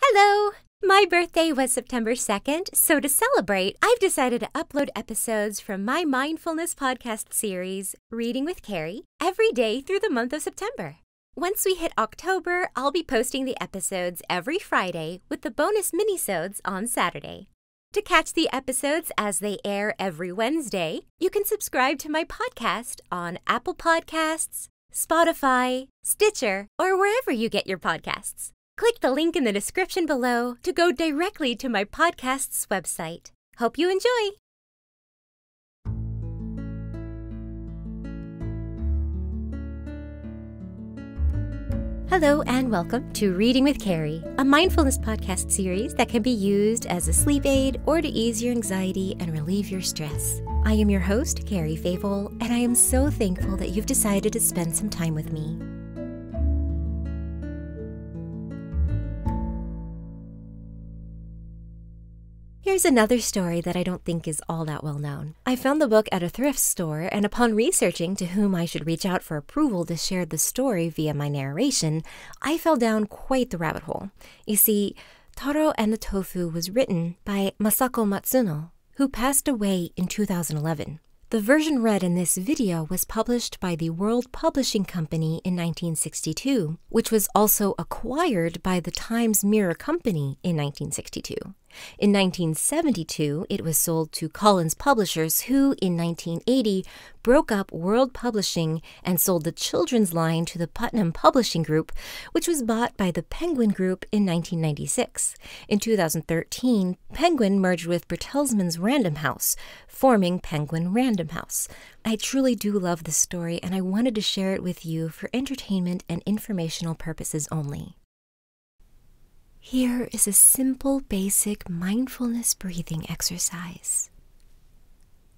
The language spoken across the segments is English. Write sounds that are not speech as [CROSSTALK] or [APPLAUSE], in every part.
Hello! My birthday was September 2nd, so to celebrate, I've decided to upload episodes from my mindfulness podcast series, Reading with Carrie, every day through the month of September. Once we hit October, I'll be posting the episodes every Friday with the bonus minisodes on Saturday. To catch the episodes as they air every Wednesday, you can subscribe to my podcast on Apple Podcasts, Spotify, Stitcher, or wherever you get your podcasts. Click the link in the description below to go directly to my podcast's website. Hope you enjoy! Hello, and welcome to Reading with Carrie, a mindfulness podcast series that can be used as a sleep aid or to ease your anxiety and relieve your stress. I am your host, Carrie Mary and I am so thankful that you've decided to spend some time with me. Here's another story that I don't think is all that well known. I found the book at a thrift store, and upon researching to whom I should reach out for approval to share the story via my narration, I fell down quite the rabbit hole. You see, Taro and the Tofu was written by Masako Matsuno, who passed away in 2011. The version read in this video was published by the World Publishing Company in 1962, which was also acquired by the Times Mirror Company in 1962. In 1972, it was sold to Collins Publishers, who in 1980 broke up World Publishing and sold the children's line to the Putnam Publishing Group, which was bought by the Penguin Group in 1996. In 2013, Penguin merged with Bertelsmann's Random House, forming Penguin Random House. I truly do love this story, and I wanted to share it with you for entertainment and informational purposes only. Here is a simple, basic mindfulness breathing exercise.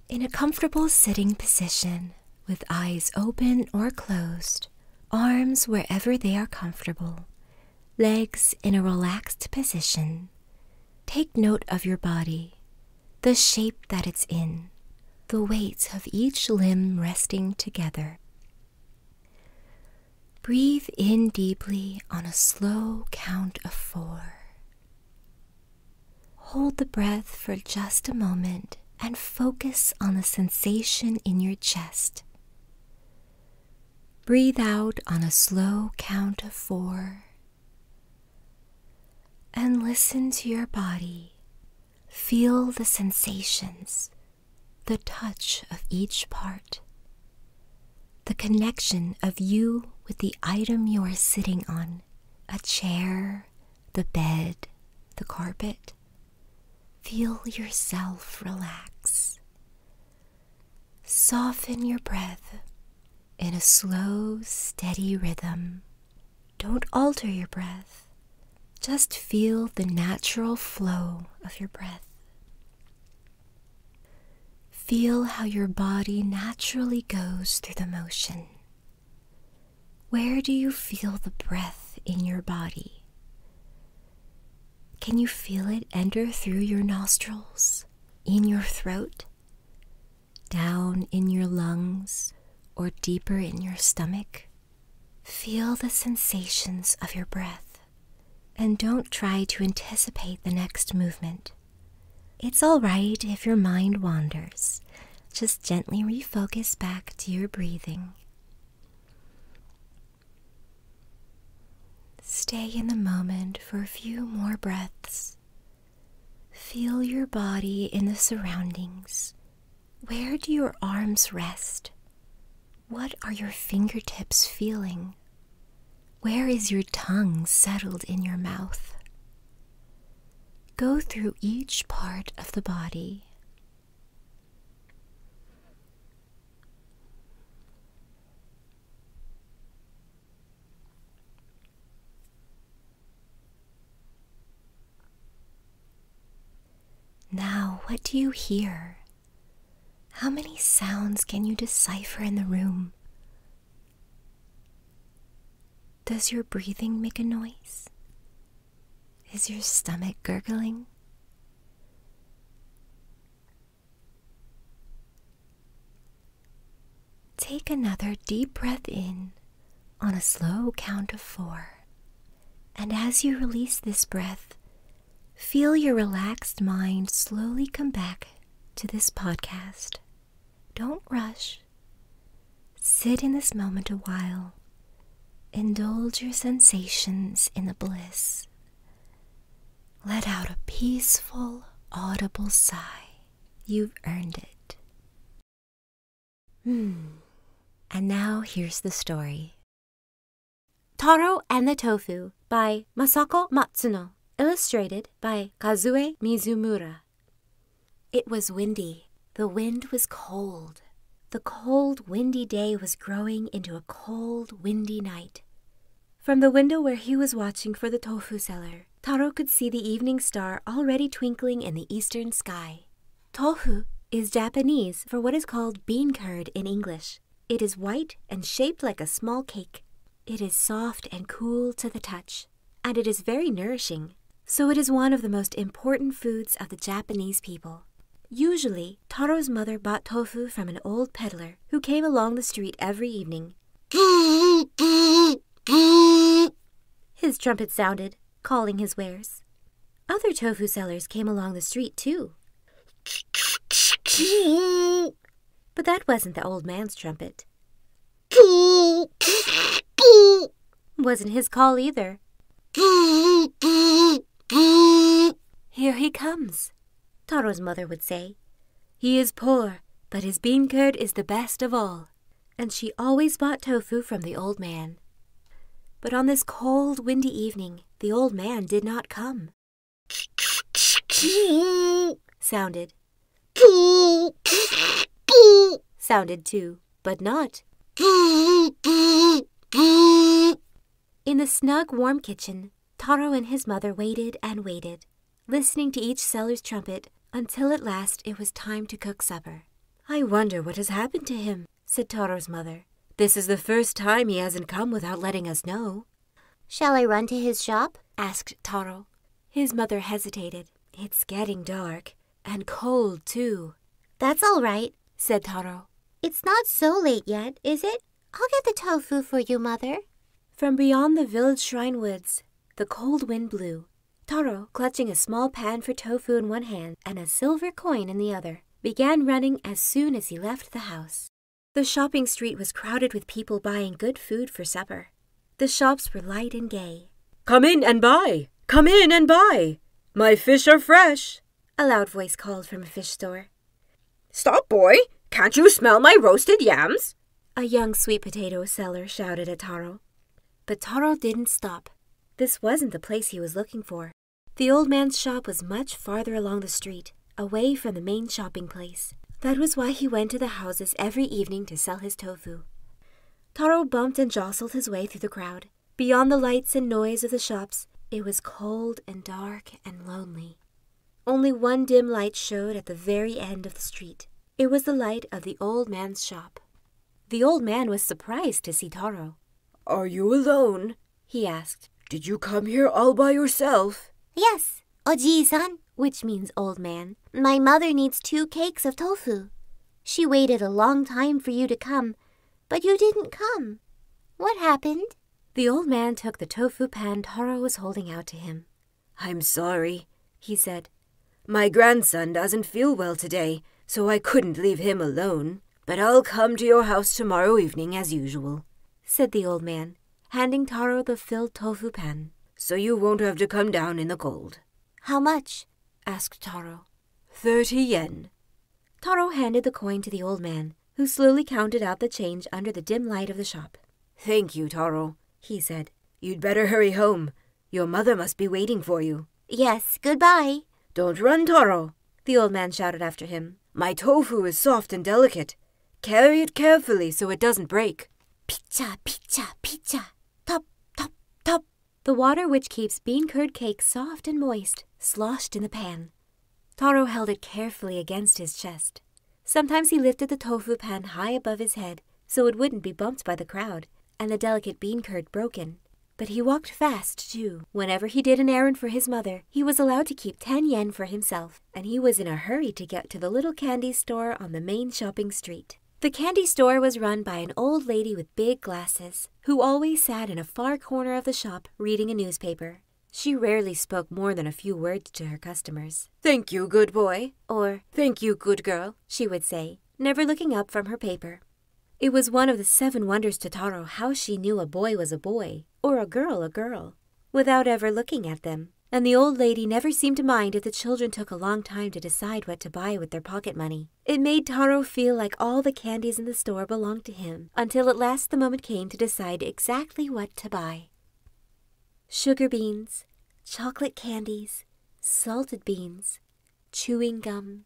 In a comfortable sitting position, with eyes open or closed, arms wherever they are comfortable, legs in a relaxed position, take note of your body, the shape that it's in, the weight of each limb resting together. Breathe in deeply on a slow count of four. Hold the breath for just a moment and focus on the sensation in your chest. Breathe out on a slow count of four and listen to your body. Feel the sensations, the touch of each part, the connection of you with the item you are sitting on a chair, the bed, the carpet. Feel yourself relax. Soften your breath in a slow, steady rhythm. Don't alter your breath. Just feel the natural flow of your breath. Feel how your body naturally goes through the motion where do you feel the breath in your body? Can you feel it enter through your nostrils, in your throat, down in your lungs, or deeper in your stomach? Feel the sensations of your breath and don't try to anticipate the next movement. It's all right if your mind wanders. Just gently refocus back to your breathing. Stay in the moment for a few more breaths. Feel your body in the surroundings. Where do your arms rest? What are your fingertips feeling? Where is your tongue settled in your mouth? Go through each part of the body. Now, what do you hear? How many sounds can you decipher in the room? Does your breathing make a noise? Is your stomach gurgling? Take another deep breath in on a slow count of four. And as you release this breath, feel your relaxed mind slowly come back to this podcast don't rush. Sit in this moment a while. Indulge your sensations in the bliss. Let out a peaceful, audible sigh. You've earned it. Hmm. And now here's the story Taro and the Tofu by Masako Matsuno, illustrated by Kazue Mizumura. It was windy. The wind was cold. The cold, windy day was growing into a cold, windy night. From the window where he was watching for the tofu seller, Taro could see the evening star already twinkling in the eastern sky. Tofu is Japanese for what is called bean curd in English. It is white and shaped like a small cake. It is soft and cool to the touch, and it is very nourishing, so it is one of the most important foods of the Japanese people. Usually, Taro's mother bought tofu from an old peddler who came along the street every evening. His trumpet sounded, calling his wares. Other tofu sellers came along the street too. But that wasn't the old man's trumpet. [LAUGHS] Wasn't his call either. [LAUGHS] Here he comes, Taro's mother would say. He is poor, but his bean curd is the best of all. And she always bought tofu from the old man. But on this cold, windy evening, the old man did not come. [LAUGHS] sounded. sounded too, but not. In the snug, warm kitchen, Taro and his mother waited and waited, listening to each seller's trumpet until at last it was time to cook supper. I wonder what has happened to him, said Taro's mother. This is the first time he hasn't come without letting us know. Shall I run to his shop? asked Taro. His mother hesitated. It's getting dark, and cold too. That's all right, said Taro. It's not so late yet, is it? I'll get the tofu for you, mother. From beyond the village shrine woods, the cold wind blew. Taro, clutching a small pan for tofu in one hand and a silver coin in the other, began running as soon as he left the house. The shopping street was crowded with people buying good food for supper. The shops were light and gay. Come in and buy! Come in and buy! My fish are fresh! A loud voice called from a fish store. Stop, boy! Can't you smell my roasted yams? A young sweet potato seller shouted at Taro. But Taro didn't stop. This wasn't the place he was looking for. The old man's shop was much farther along the street away from the main shopping place. That was why he went to the houses every evening to sell his tofu. Taro bumped and jostled his way through the crowd. Beyond the lights and noise of the shops, it was cold and dark and lonely. Only one dim light showed at the very end of the street. It was the light of the old man's shop. The old man was surprised to see Taro. Are you alone? he asked. Did you come here all by yourself? Yes, Oji-san, which means old man. My mother needs two cakes of tofu. She waited a long time for you to come, but you didn't come. What happened? The old man took the tofu pan Taro was holding out to him. I'm sorry, he said. My grandson doesn't feel well today, so I couldn't leave him alone. But I'll come to your house tomorrow evening as usual said the old man, handing Taro the filled tofu pan. So you won't have to come down in the cold. How much? asked Taro. Thirty yen. Taro handed the coin to the old man, who slowly counted out the change under the dim light of the shop. Thank you, Taro, he said. You'd better hurry home. Your mother must be waiting for you. Yes, goodbye. Don't run, Taro. the old man shouted after him. My tofu is soft and delicate. Carry it carefully so it doesn't break. Pizza, pizza, pizza. Top, top, top. The water which keeps bean curd cake soft and moist sloshed in the pan. Taro held it carefully against his chest. Sometimes he lifted the tofu pan high above his head so it wouldn't be bumped by the crowd and the delicate bean curd broken. But he walked fast, too. Whenever he did an errand for his mother, he was allowed to keep 10 yen for himself, and he was in a hurry to get to the little candy store on the main shopping street. The candy store was run by an old lady with big glasses, who always sat in a far corner of the shop reading a newspaper. She rarely spoke more than a few words to her customers. Thank you, good boy, or thank you, good girl, she would say, never looking up from her paper. It was one of the seven wonders to Taro how she knew a boy was a boy, or a girl a girl, without ever looking at them, and the old lady never seemed to mind if the children took a long time to decide what to buy with their pocket money. It made Taro feel like all the candies in the store belonged to him, until at last the moment came to decide exactly what to buy. Sugar beans, chocolate candies, salted beans, chewing gum,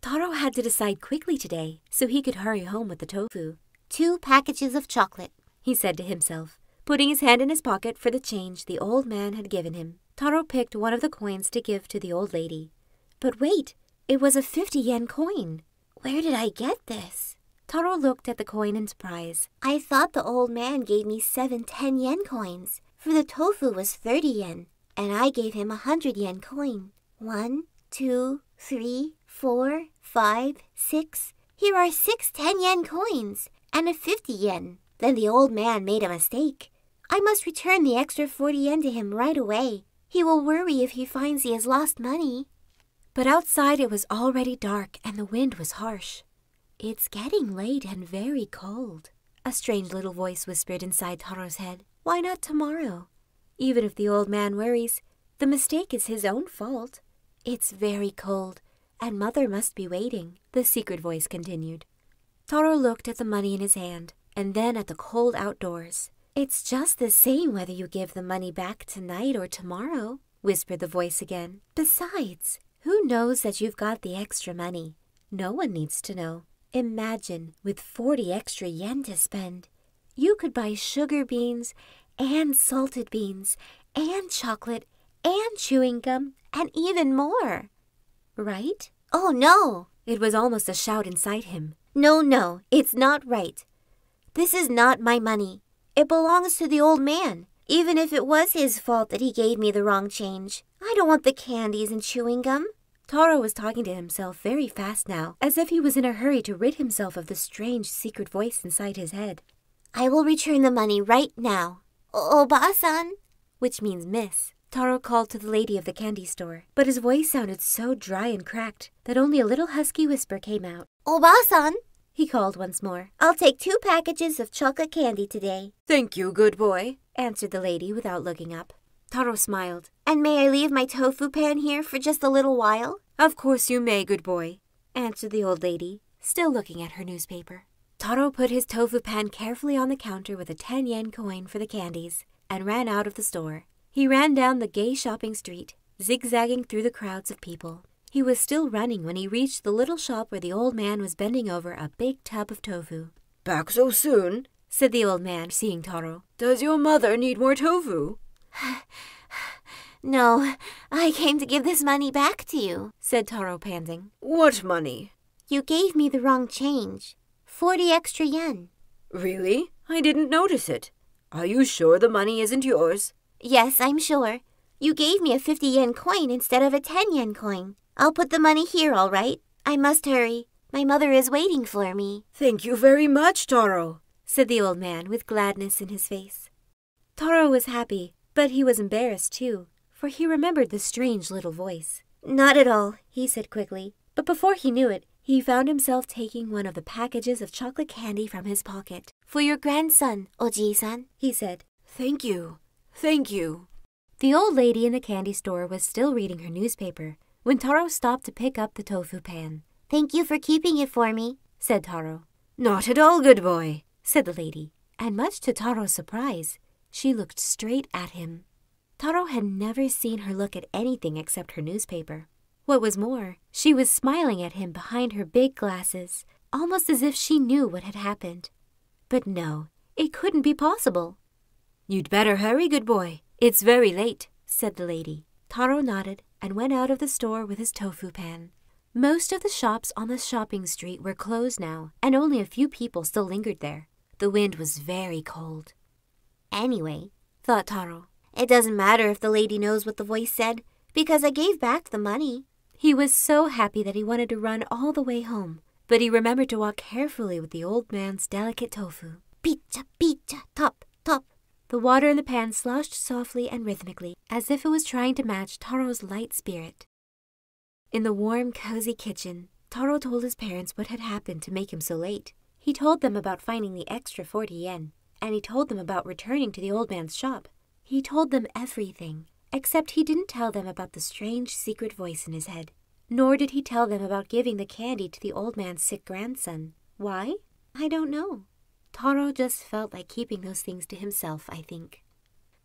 Taro had to decide quickly today so he could hurry home with the tofu. Two packages of chocolate, he said to himself, putting his hand in his pocket for the change the old man had given him. Taro picked one of the coins to give to the old lady. But wait, it was a 50 yen coin. Where did I get this? Taro looked at the coin in surprise. I thought the old man gave me seven ten yen coins, for the tofu was 30 yen, and I gave him a 100 yen coin. One, two, three, four, five, six. Here are six ten yen coins and a 50 yen. Then the old man made a mistake. I must return the extra 40 yen to him right away. He will worry if he finds he has lost money. But outside it was already dark and the wind was harsh. It's getting late and very cold, a strange little voice whispered inside Taro's head. Why not tomorrow? Even if the old man worries, the mistake is his own fault. It's very cold, and Mother must be waiting, the secret voice continued. Taro looked at the money in his hand and then at the cold outdoors. It's just the same whether you give the money back tonight or tomorrow, whispered the voice again. Besides, who knows that you've got the extra money? No one needs to know. Imagine, with 40 extra yen to spend, you could buy sugar beans and salted beans and chocolate and chewing gum and even more. Right? Oh, no! It was almost a shout inside him. No, no, it's not right. This is not my money. It belongs to the old man. Even if it was his fault that he gave me the wrong change, I don't want the candies and chewing gum. Taro was talking to himself very fast now, as if he was in a hurry to rid himself of the strange secret voice inside his head. I will return the money right now. Oba-san, which means miss. Taro called to the lady of the candy store, but his voice sounded so dry and cracked that only a little husky whisper came out. Oba-san, he called once more. I'll take two packages of chocolate candy today. Thank you, good boy, answered the lady without looking up. Taro smiled. And may I leave my tofu pan here for just a little while? Of course you may, good boy, answered the old lady, still looking at her newspaper. Taro put his tofu pan carefully on the counter with a 10 yen coin for the candies and ran out of the store. He ran down the gay shopping street, zigzagging through the crowds of people. He was still running when he reached the little shop where the old man was bending over a big tub of tofu. Back so soon? said the old man, seeing Taro. Does your mother need more tofu? [SIGHS] no, I came to give this money back to you, said Taro, panting. What money? You gave me the wrong change. Forty extra yen. Really? I didn't notice it. Are you sure the money isn't yours? Yes, I'm sure. You gave me a 50 yen coin instead of a 10 yen coin. I'll put the money here, all right? I must hurry. My mother is waiting for me. Thank you very much, Taro, said the old man with gladness in his face. Taro was happy, but he was embarrassed too, for he remembered the strange little voice. Not at all, he said quickly, but before he knew it, he found himself taking one of the packages of chocolate candy from his pocket. For your grandson, Oji-san, he said. Thank you, thank you. The old lady in the candy store was still reading her newspaper when Taro stopped to pick up the tofu pan. Thank you for keeping it for me, said Taro. Not at all, good boy, said the lady, and much to Taro's surprise, she looked straight at him. Taro had never seen her look at anything except her newspaper. What was more, she was smiling at him behind her big glasses, almost as if she knew what had happened. But no, it couldn't be possible. You'd better hurry, good boy. It's very late, said the lady. Taro nodded and went out of the store with his tofu pan. Most of the shops on the shopping street were closed now, and only a few people still lingered there. The wind was very cold. Anyway, thought Taro, it doesn't matter if the lady knows what the voice said, because I gave back the money. He was so happy that he wanted to run all the way home, but he remembered to walk carefully with the old man's delicate tofu. Pizza, pizza, top, top. The water in the pan sloshed softly and rhythmically, as if it was trying to match Taro's light spirit. In the warm, cozy kitchen, Taro told his parents what had happened to make him so late. He told them about finding the extra 40 yen, and he told them about returning to the old man's shop. He told them everything, except he didn't tell them about the strange secret voice in his head. Nor did he tell them about giving the candy to the old man's sick grandson. Why? I don't know. Taro just felt like keeping those things to himself, I think.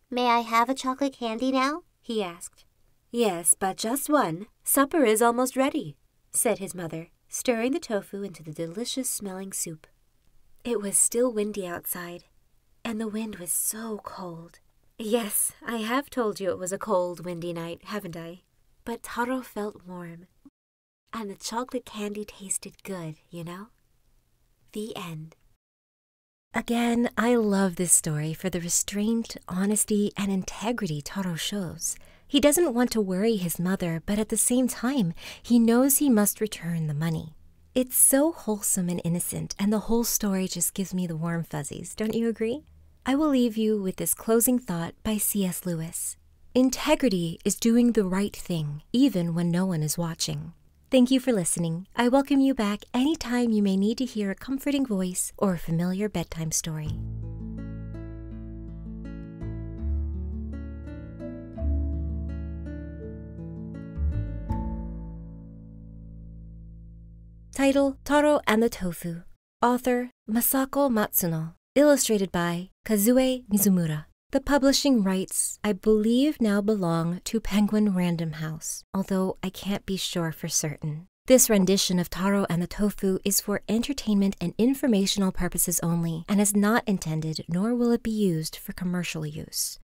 May I have a chocolate candy now? he asked. Yes, but just one. Supper is almost ready, said his mother, stirring the tofu into the delicious smelling soup. It was still windy outside, and the wind was so cold. Yes, I have told you it was a cold, windy night, haven't I? But Taro felt warm. And the chocolate candy tasted good, you know? The end. Again, I love this story for the restraint, honesty, and integrity Taro shows. He doesn't want to worry his mother, but at the same time, he knows he must return the money. It's so wholesome and innocent, and the whole story just gives me the warm fuzzies, don't you agree? I will leave you with this closing thought by C.S. Lewis Integrity is doing the right thing, even when no one is watching. Thank you for listening. I welcome you back anytime you may need to hear a comforting voice or a familiar bedtime story. Title Taro and the Tofu. Author Masako Matsuno. Illustrated by Kazue Mizumura. The publishing rights, I believe, now belong to Penguin Random House, although I can't be sure for certain. This rendition of Taro and the Tofu is for entertainment and informational purposes only and is not intended nor will it be used for commercial use.